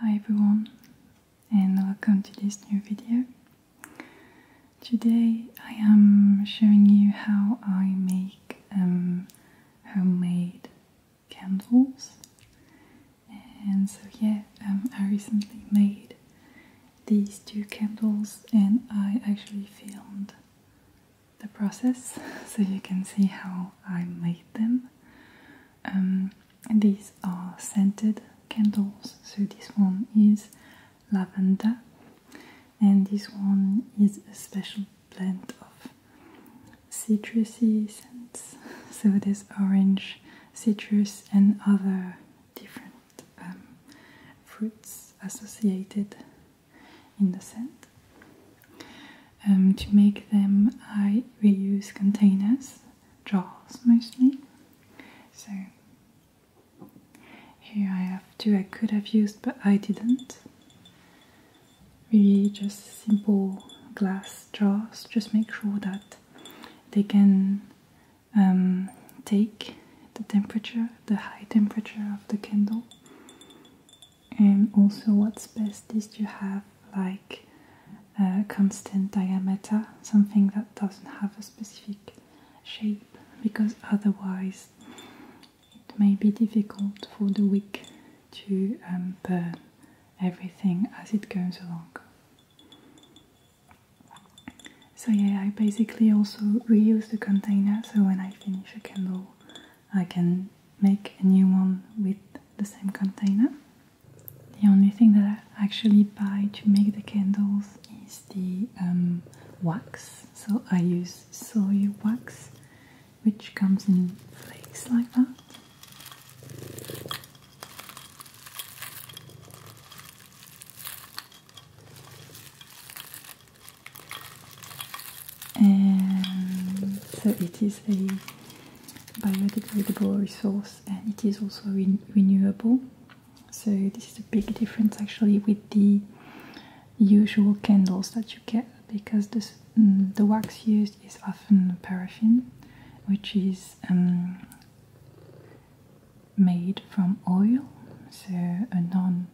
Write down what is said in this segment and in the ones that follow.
Hi everyone and welcome to this new video. Today I am showing you how I make um, homemade candles and so yeah um, I recently made these two candles and I actually filmed the process so you can see how I made them um, these are scented candles so this one is lavender and this one is a special blend of citrusy scents so this orange citrus, and other different um, fruits associated in the scent. Um, to make them, I reuse containers, jars mostly. So here I have two I could have used, but I didn't. Really, just simple glass jars. Just make sure that they can um, take the temperature, the high temperature of the candle, and also what's best is to have like constant diameter, something that doesn't have a specific shape, because otherwise it may be difficult for the wick to um, burn everything as it goes along. So yeah, I basically also reuse the container so when I finish a candle I can make a new one with the same container. The only thing that I actually buy to make the candles is the um, wax. So I use soy wax which comes in flakes like that and so it is a biodegradable resource and it is also renewable so this is a big difference actually with the usual candles that you get because this, mm, the wax used is often paraffin which is um, made from oil, so a non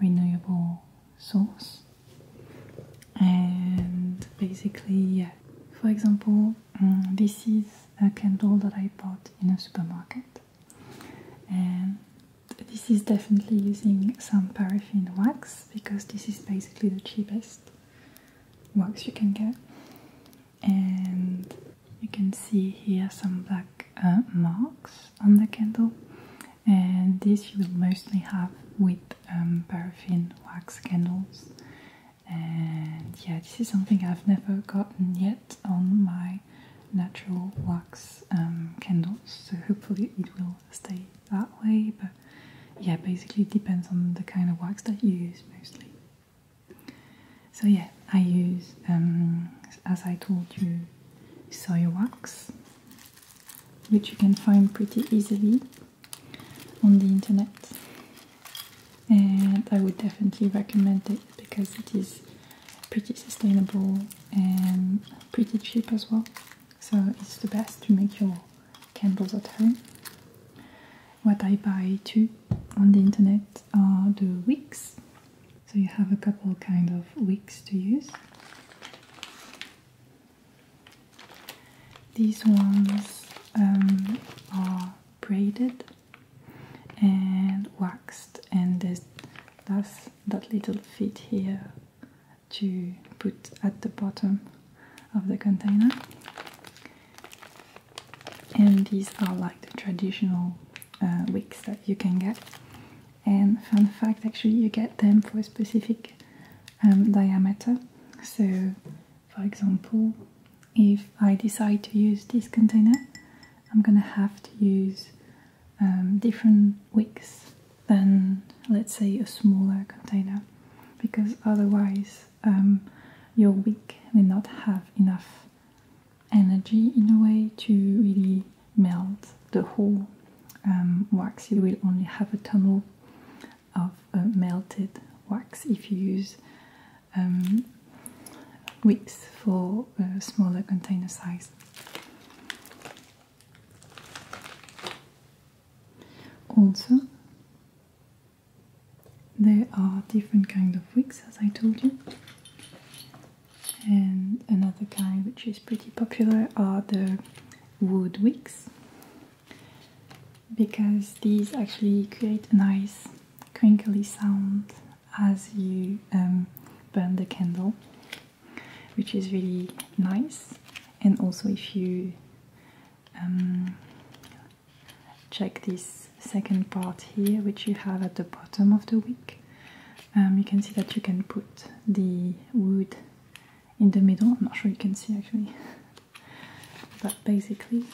renewable source. And basically, yeah, for example, mm, this is a candle that I bought in a supermarket, and this is definitely using some paraffin wax because this is basically the cheapest. Wax you can get and you can see here some black uh, marks on the candle and this you will mostly have with um, paraffin wax candles and yeah this is something I've never gotten yet on my natural wax um, candles so hopefully it will stay that way but yeah basically it depends on the kind of wax that you use mostly so yeah, I use, um, as I told you, soy wax, which you can find pretty easily on the internet. And I would definitely recommend it because it is pretty sustainable and pretty cheap as well. So it's the best to make your candles at home. What I buy too on the internet are the wicks. So you have a couple kind of wicks to use. These ones um, are braided and waxed and there's that little fit here to put at the bottom of the container and these are like the traditional uh, wicks that you can get and fun fact actually you get them for a specific um, diameter so for example if I decide to use this container I'm gonna have to use um, different wicks than let's say a smaller container because otherwise um, your wick will not have enough energy in a way to really melt the whole um, wax. You will only have a tunnel of uh, melted wax if you use um, wicks for a uh, smaller container size. Also, there are different kinds of wicks, as I told you. And another kind which is pretty popular are the wood wicks, because these actually create a nice crinkly sound as you um, burn the candle which is really nice and also if you um, check this second part here which you have at the bottom of the wick um, you can see that you can put the wood in the middle I'm not sure you can see actually but basically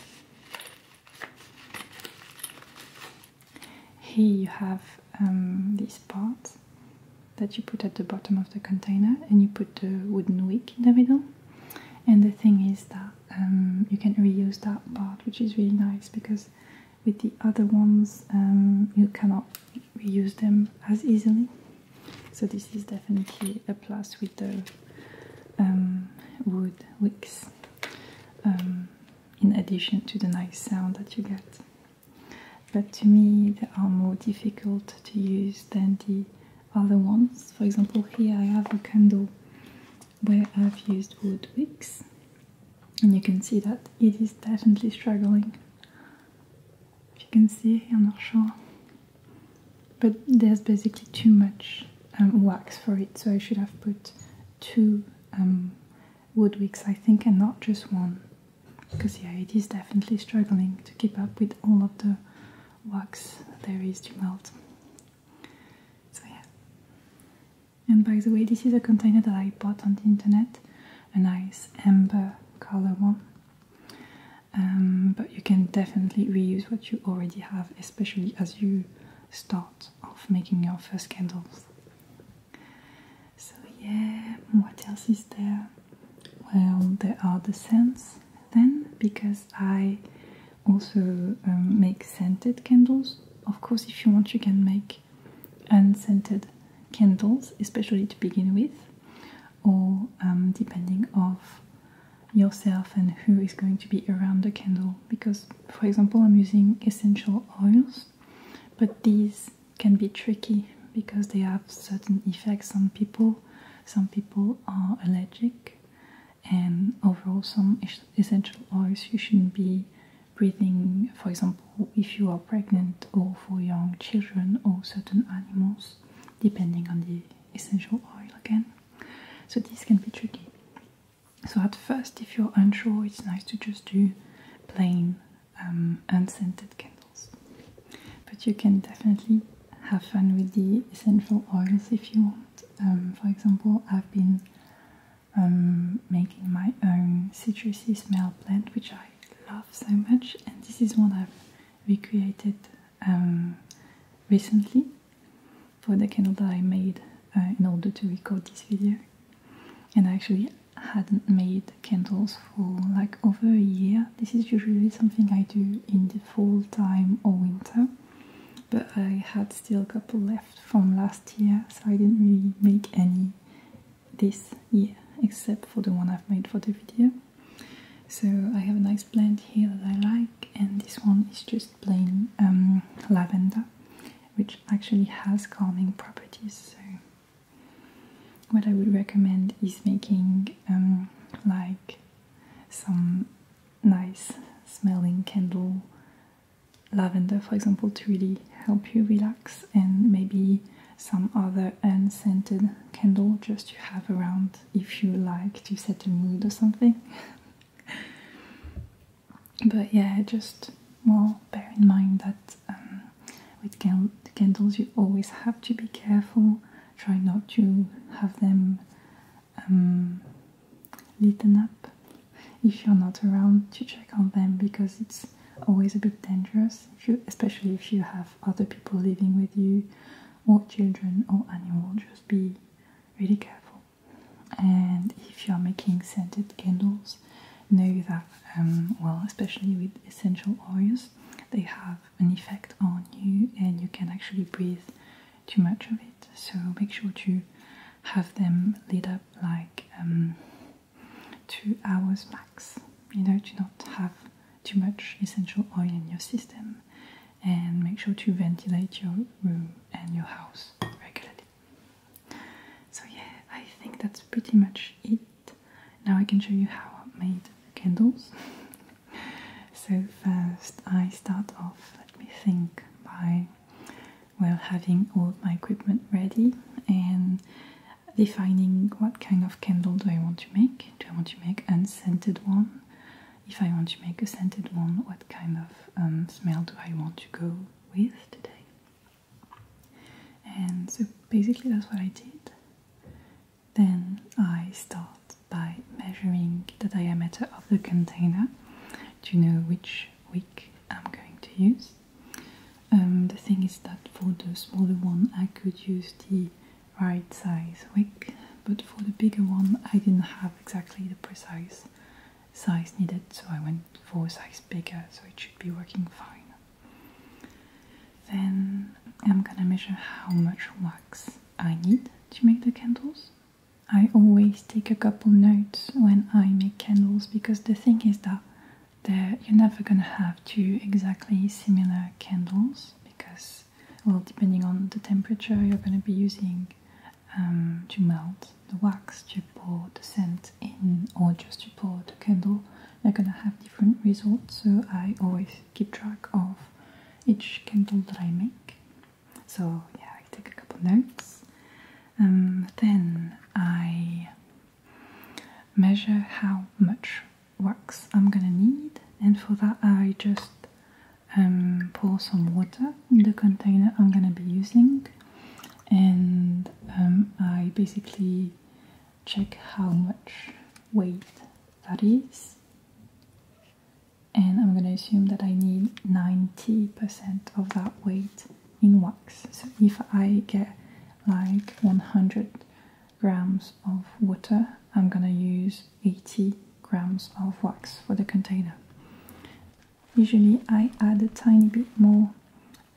here you have um, this part that you put at the bottom of the container and you put the wooden wick in the middle and the thing is that um, you can reuse that part, which is really nice because with the other ones um, you cannot reuse them as easily. So this is definitely a plus with the um, wood wicks, in addition to the nice sound that you get. But to me, they are more difficult to use than the other ones. For example, here I have a candle where I've used wood wicks, and you can see that it is definitely struggling. If you can see, I'm not sure, but there's basically too much um, wax for it, so I should have put two um, wood wicks, I think, and not just one. Because yeah, it is definitely struggling to keep up with all of the wax there is to melt. So yeah. And by the way, this is a container that I bought on the internet, a nice amber color one. Um, but you can definitely reuse what you already have, especially as you start off making your first candles. So yeah, what else is there? Well, there are the scents then because I also um, make scented candles. Of course, if you want, you can make unscented candles, especially to begin with, or um, depending of yourself and who is going to be around the candle. Because, for example, I'm using essential oils, but these can be tricky because they have certain effects Some people. Some people are allergic and overall some essential oils you shouldn't be breathing for example if you are pregnant or for young children or certain animals depending on the essential oil again so this can be tricky so at first if you're unsure it's nice to just do plain um, unscented candles but you can definitely have fun with the essential oils if you want. Um, for example, I've been um, making my own citrusy smell blend, which I love so much, and this is one I've recreated um, recently for the candle that I made uh, in order to record this video. And I actually hadn't made candles for like over a year. This is usually something I do in the fall time or winter but I had still a couple left from last year, so I didn't really make any this year except for the one I've made for the video. So I have a nice blend here that I like, and this one is just plain um, lavender, which actually has calming properties. So what I would recommend is making um, like some nice smelling candle, lavender for example, to really help you relax, and maybe some other unscented candle just to have around if you like to set a mood or something. but yeah, just well, bear in mind that um, with candles you always have to be careful, try not to have them um, little up if you're not around to check on them because it's always a bit dangerous especially if you have other people living with you or children or animals just be really careful and if you're making scented candles know that um, well especially with essential oils they have an effect on you and you can actually breathe too much of it. So make sure to have them lit up like um, two hours max, you know, to not have too much essential oil in your system. And make sure to ventilate your room and your house regularly. So, yeah, I think that's pretty much it. Now I can show you how I made candles so first I start off, let me think, by well having all my equipment ready and defining what kind of candle do I want to make. Do I want to make unscented one? If I want to make a scented one, what kind of um, smell do I want to go with today? And so basically that's what I did. Then I start by measuring the diameter of the container to know which wick I'm going to use. Um, the thing is that for the smaller one I could use the right size wick, but for the bigger one I didn't have exactly the precise size needed, so I went for a size bigger, so it should be working fine. Then I'm gonna measure how much wax I need to make the candles. I always take a couple notes when I make candles because the thing is that you're never gonna have two exactly similar candles because, well, depending on the temperature you're gonna be using um, to melt the wax, to pour the scent in, or just to pour the candle, you're gonna have different results. So I always keep track of each candle that I make. So yeah, I take a couple notes. Um, then I measure how much wax I'm gonna need, and for that I just um, pour some water in the container I'm gonna be using, and um, I basically check how much weight that is and I'm gonna assume that I need 90% of that weight in wax. So if I get like 100 grams of water, I'm gonna use 80 grams of wax for the container. Usually I add a tiny bit more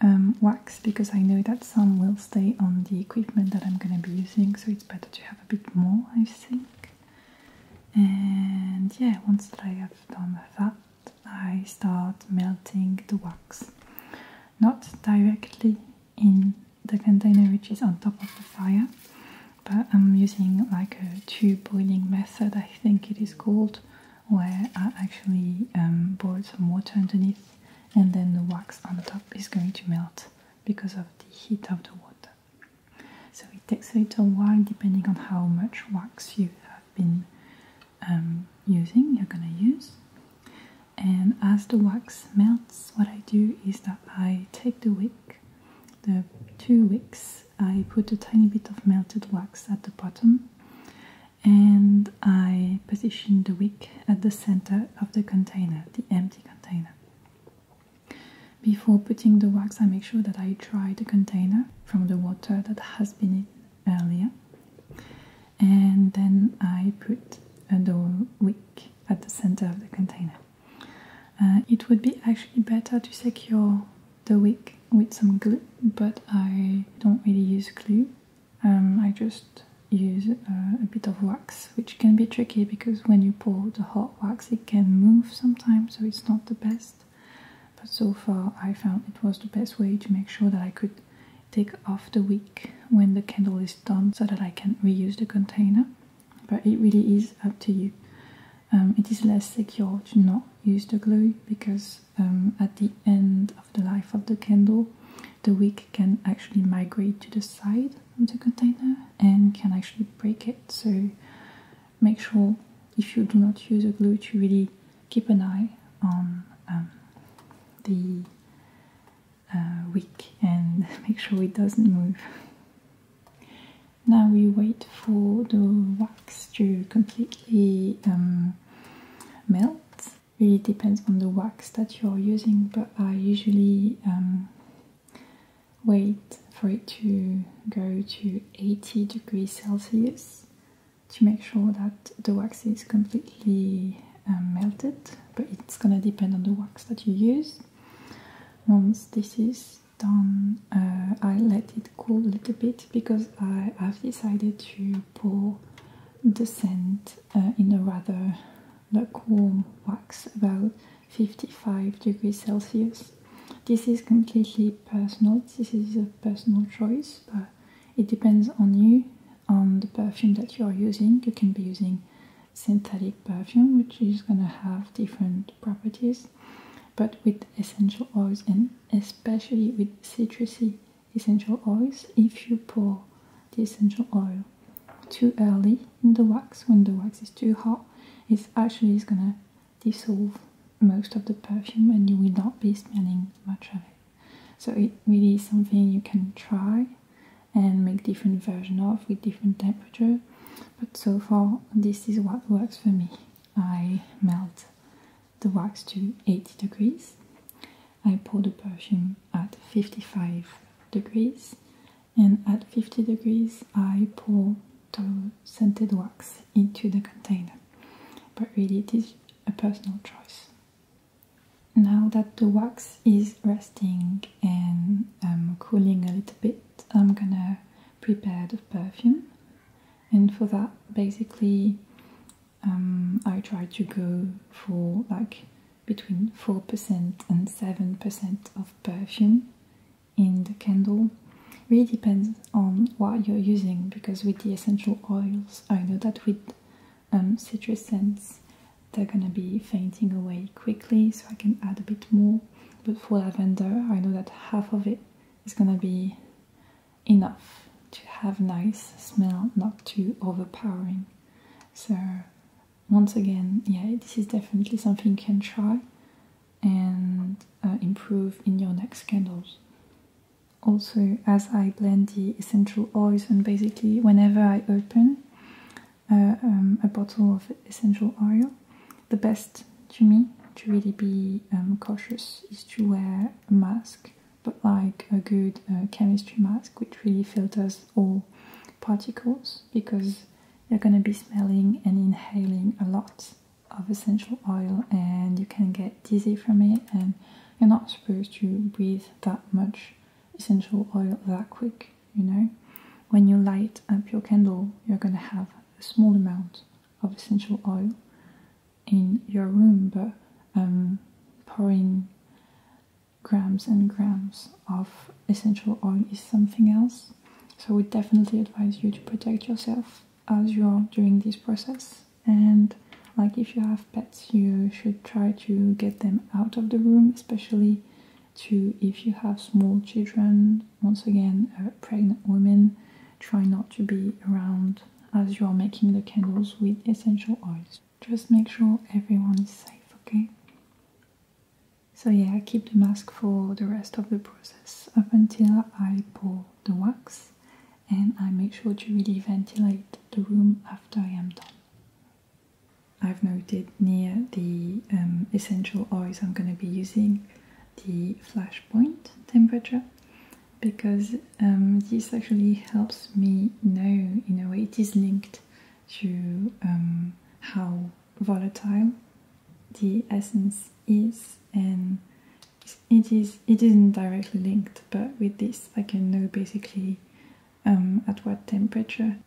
um, wax because I know that some will stay on the equipment that I'm gonna be using, so it's better to have a bit more, I think and yeah once that I have done that I start melting the wax not directly in the container which is on top of the fire but I'm using like a tube boiling method I think it is called where I actually um, boil some water underneath and then the wax on top is going to melt because of the heat of the water so it takes a little while depending on how much wax you have been um, using, you're gonna use. And as the wax melts, what I do is that I take the wick, the two wicks, I put a tiny bit of melted wax at the bottom and I position the wick at the center of the container, the empty container. Before putting the wax, I make sure that I dry the container from the water that has been in earlier, and then I put the wick at the center of the container. Uh, it would be actually better to secure the wick with some glue, but I don't really use glue. Um, I just use uh, a bit of wax, which can be tricky because when you the hot wax it can move sometimes so it's not the best but so far I found it was the best way to make sure that I could take off the wick when the candle is done so that I can reuse the container but it really is up to you um, it is less secure to not use the glue because um, at the end of the life of the candle the wick can actually migrate to the side of the container and can actually break it. So make sure if you do not use a glue to really keep an eye on um, the uh, wick and make sure it doesn't move. Now we wait for the wax to completely um, melt. Really depends on the wax that you're using, but I usually um, wait for it to go to 80 degrees Celsius to make sure that the wax is completely um, melted but it's gonna depend on the wax that you use once this is done uh, I let it cool a little bit because I have decided to pour the scent uh, in a rather uh, lukewarm wax about 55 degrees Celsius. This is completely personal, this is a personal choice, but it depends on you, on the perfume that you are using. You can be using synthetic perfume, which is going to have different properties, but with essential oils and especially with citrusy essential oils, if you pour the essential oil too early, in the wax when the wax is too hot it actually is gonna dissolve most of the perfume and you will not be smelling much of it so it really is something you can try and make different version of with different temperature but so far this is what works for me i melt the wax to 80 degrees i pour the perfume at 55 degrees and at 50 degrees I pour the scented wax into the container. But really it is a personal choice. Now that the wax is resting and um, cooling a little bit, I'm gonna prepare the perfume. And for that, basically, um, I try to go for like between 4% and 7% of perfume in the candle really depends on what you're using because with the essential oils I know that with um, citrus scents they're gonna be fainting away quickly so I can add a bit more but for lavender I know that half of it is gonna be enough to have nice smell not too overpowering so once again, yeah, this is definitely something you can try and uh, improve in your next candles. Also, as I blend the essential oils, and basically, whenever I open uh, um, a bottle of essential oil, the best to me to really be um, cautious is to wear a mask, but like a good uh, chemistry mask, which really filters all particles because you're going to be smelling and inhaling a lot of essential oil and you can get dizzy from it and you're not supposed to breathe that much essential oil that quick you know when you light up your candle you're going to have a small amount of essential oil in your room but um, pouring grams and grams of essential oil is something else. So we definitely advise you to protect yourself as you are during this process. And like if you have pets, you should try to get them out of the room, especially to if you have small children. Once again, uh, pregnant women, try not to be around as you are making the candles with essential oils. Just make sure everyone is safe, okay? So yeah, I keep the mask for the rest of the process up until I pour the wax and I make sure to really ventilate the room after I am done. I've noted near the um, essential oils I'm going to be using the flash point temperature because um, this actually helps me know in a way it is linked to um, how volatile the essence is and it is it isn't directly linked but with this I can know basically um, at what temperature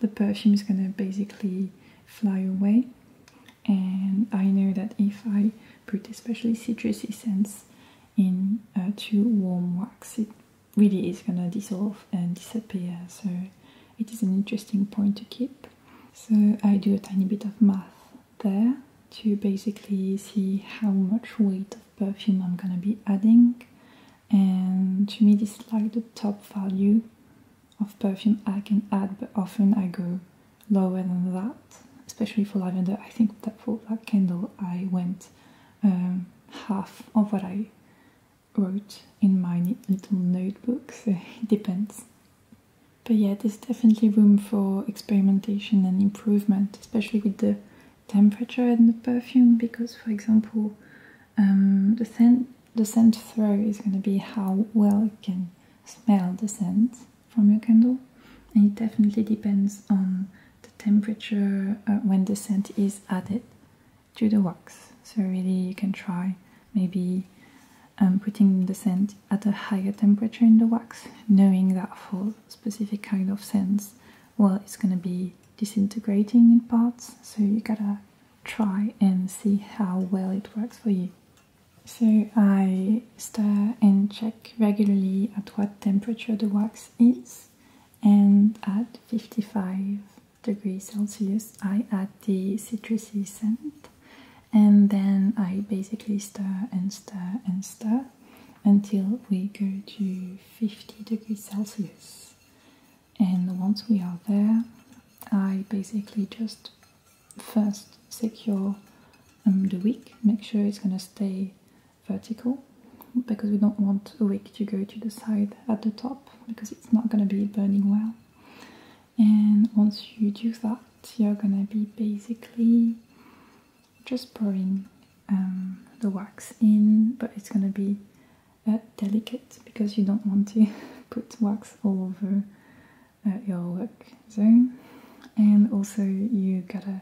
the perfume is gonna basically fly away and I know that if I put especially citrusy scents in too warm wax it really is gonna dissolve and disappear so it is an interesting point to keep so I do a tiny bit of math there to basically see how much weight of perfume I'm gonna be adding and to me this is like the top value of perfume I can add but often I go lower than that especially for lavender I think that for that candle I went um, half of what I wrote in my little notebook, it depends. But yeah, there's definitely room for experimentation and improvement, especially with the temperature and the perfume, because for example, um, the scent the scent throw is going to be how well you can smell the scent from your candle, and it definitely depends on the temperature uh, when the scent is added to the wax. So really you can try maybe um, putting the scent at a higher temperature in the wax, knowing that for specific kind of scents, well, it's going to be disintegrating in parts, so you gotta try and see how well it works for you. So I stir and check regularly at what temperature the wax is and at 55 degrees Celsius, I add the citrusy scent and then I basically stir and stir and stir until we go to 50 degrees Celsius. And once we are there, I basically just first secure um, the wick, make sure it's going to stay vertical because we don't want a wick to go to the side at the top because it's not going to be burning well and once you do that you're gonna be basically just pouring um, the wax in but it's gonna be uh, delicate because you don't want to put wax all over uh, your work zone and also you gotta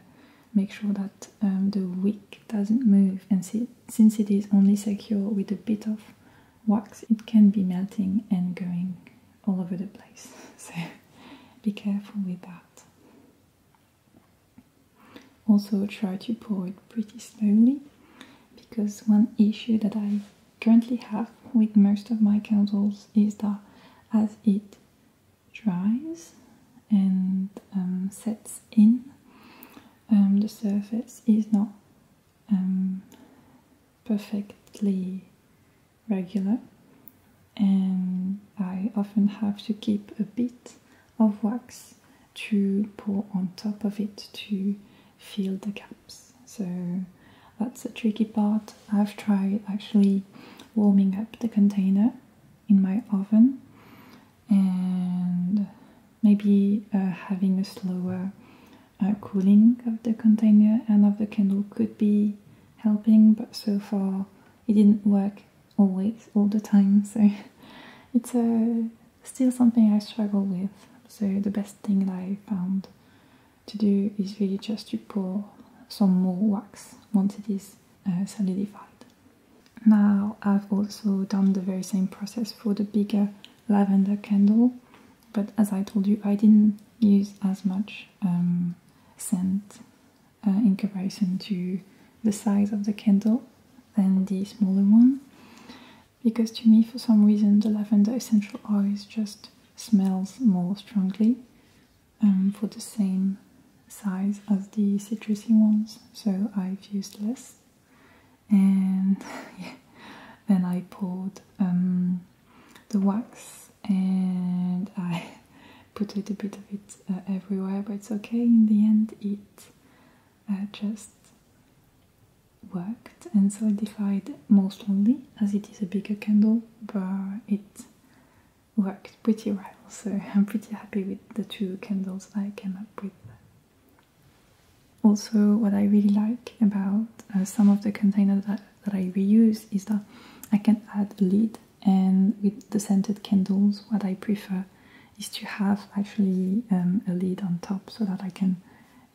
make sure that um, the wick doesn't move and since it is only secure with a bit of wax, it can be melting and going all over the place. So be careful with that. Also, try to pour it pretty slowly because one issue that I currently have with most of my candles is that as it dries and um, sets in, um, the surface is not um, perfectly regular and I often have to keep a bit of wax to pour on top of it to fill the gaps. So that's a tricky part. I've tried actually warming up the container in my oven and maybe uh, having a slower uh, cooling of the container and of the candle could be helping, but so far it didn't work always, all the time. So it's uh, still something I struggle with. So the best thing that I found to do is really just to pour some more wax once it is uh, solidified. Now I've also done the very same process for the bigger lavender candle but as I told you, I didn't use as much um, scent uh, in comparison to the size of the candle than the smaller one because to me for some reason the lavender essential oils just smells more strongly um, for the same size as the citrusy ones so I've used less and yeah, then I poured um, the wax and I put a little bit of it uh, everywhere, but it's okay. In the end, it uh, just worked and solidified mostly, as it is a bigger candle, but it worked pretty well. So I'm pretty happy with the two candles I came up with. Also, what I really like about uh, some of the containers that, I reuse is that I can add a lid and with the scented candles what I prefer is to have actually um, a lid on top so that I can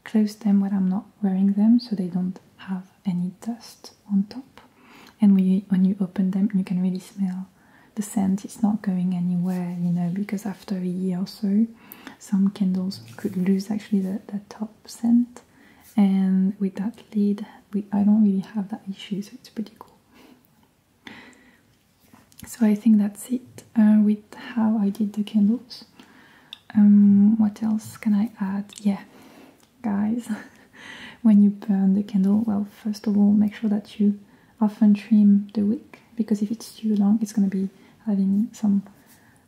close them when I'm not wearing them so they don't have any dust on top and when you, when you open them you can really smell the scent it's not going anywhere you know because after a year or so some candles could lose actually the, the top scent and with that lid we I don't really have that issue so it's pretty cool. So I think that's it uh, with how I did the candles. Um, what else can I add? Yeah, guys, when you burn the candle, well, first of all, make sure that you often trim the wick because if it's too long, it's going to be having some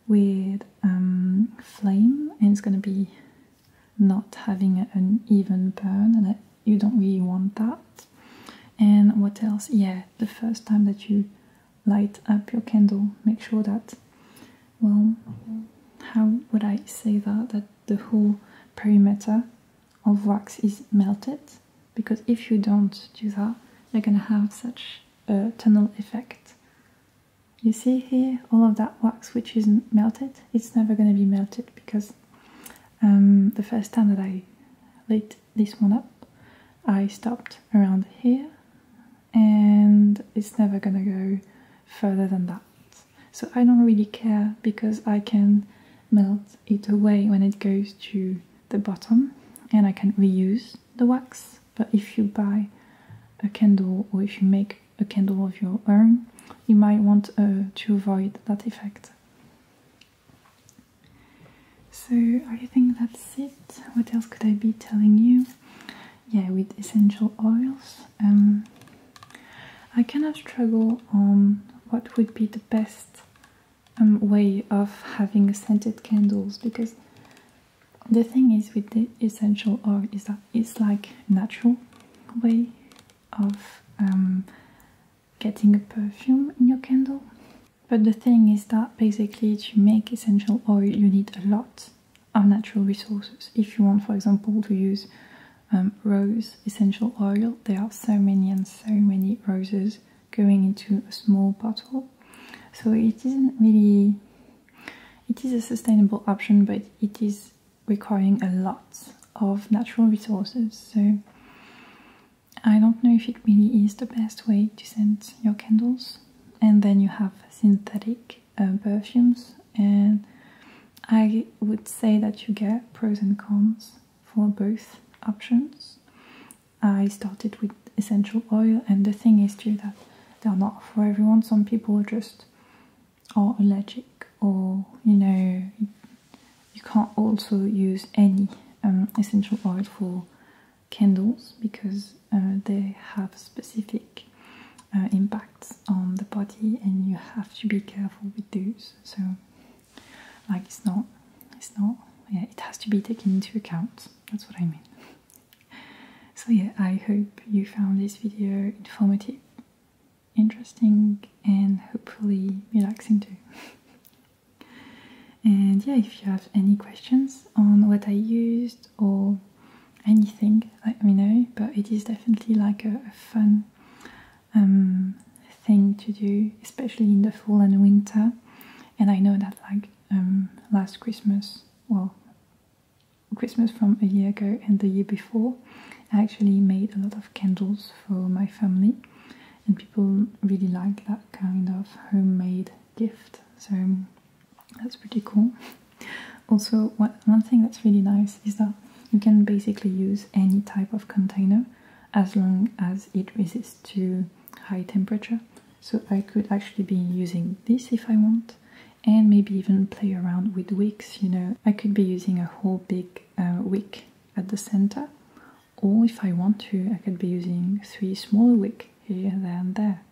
with um, flame and it's going to be not having an even burn and you don't really want that and what else yeah the first time that you light up your candle make sure that well how would i say that that the whole perimeter of wax is melted because if you don't do that you're going to have such a tunnel effect. You see here all of that wax which is melted, it's never going to be melted because um, the first time that I lit this one up I stopped around here and it's never gonna go further than that. So I don't really care because I can melt it away when it goes to the bottom and I can reuse the wax but if you buy a candle or if you make a candle of your own you might want uh, to avoid that effect so I think that's it what else could I be telling you yeah with essential oils um, I kind of struggle on what would be the best um, way of having scented candles because the thing is with the essential oil is that it's like natural way of um, getting a perfume in your candle but the thing is that basically to make essential oil you need a lot of natural resources if you want for example to use um, rose essential oil there are so many and so many roses going into a small bottle. So it isn't really, it is a sustainable option, but it is requiring a lot of natural resources. So I don't know if it really is the best way to send your candles. And then you have synthetic uh, perfumes and I would say that you get pros and cons for both options. I started with essential oil, and the thing is too that they're not for everyone. Some people are just are allergic, or you know, you can't also use any um, essential oil for candles because uh, they have specific uh, impacts on the body, and you have to be careful with those. So, like, it's not, it's not, yeah, it has to be taken into account. That's what I mean so yeah, I hope you found this video informative, interesting and hopefully relaxing too. and yeah, if you have any questions on what I used or anything, let me know. But it is definitely like a, fun um, thing to do, especially in the fall and winter. And I know that like um, last Christmas, well, Christmas from a year ago and the year before, I actually made a lot of candles for my family, and people really like that kind of homemade gift. So that's pretty cool. Also, one thing that's really nice is that you can basically use any type of container as long as it resists to high temperature so I could actually be using this if I want and maybe even play around with wicks, you know. I could be using a whole big uh, wick at the center or if I want to, I could be using three smaller wicks here, there and there.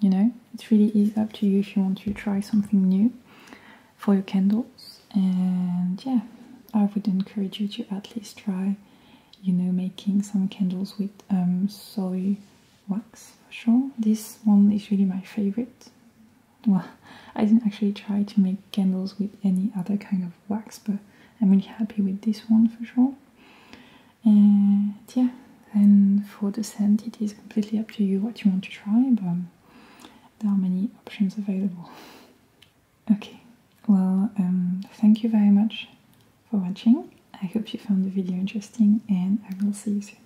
You know, it's really easy up to you if you want to try something new for your candles and yeah, I would encourage you to at least try you know making some candles with um, soy wax for sure. This one is really my favorite. Well, I didn't actually try to make candles with any other kind of wax, but I'm really happy with this one for sure. And yeah, and for the scent, it is completely up to you what you want to try, but there are many options available. Okay, well, um, thank you very much for watching. I hope you found the video interesting and I will see you soon.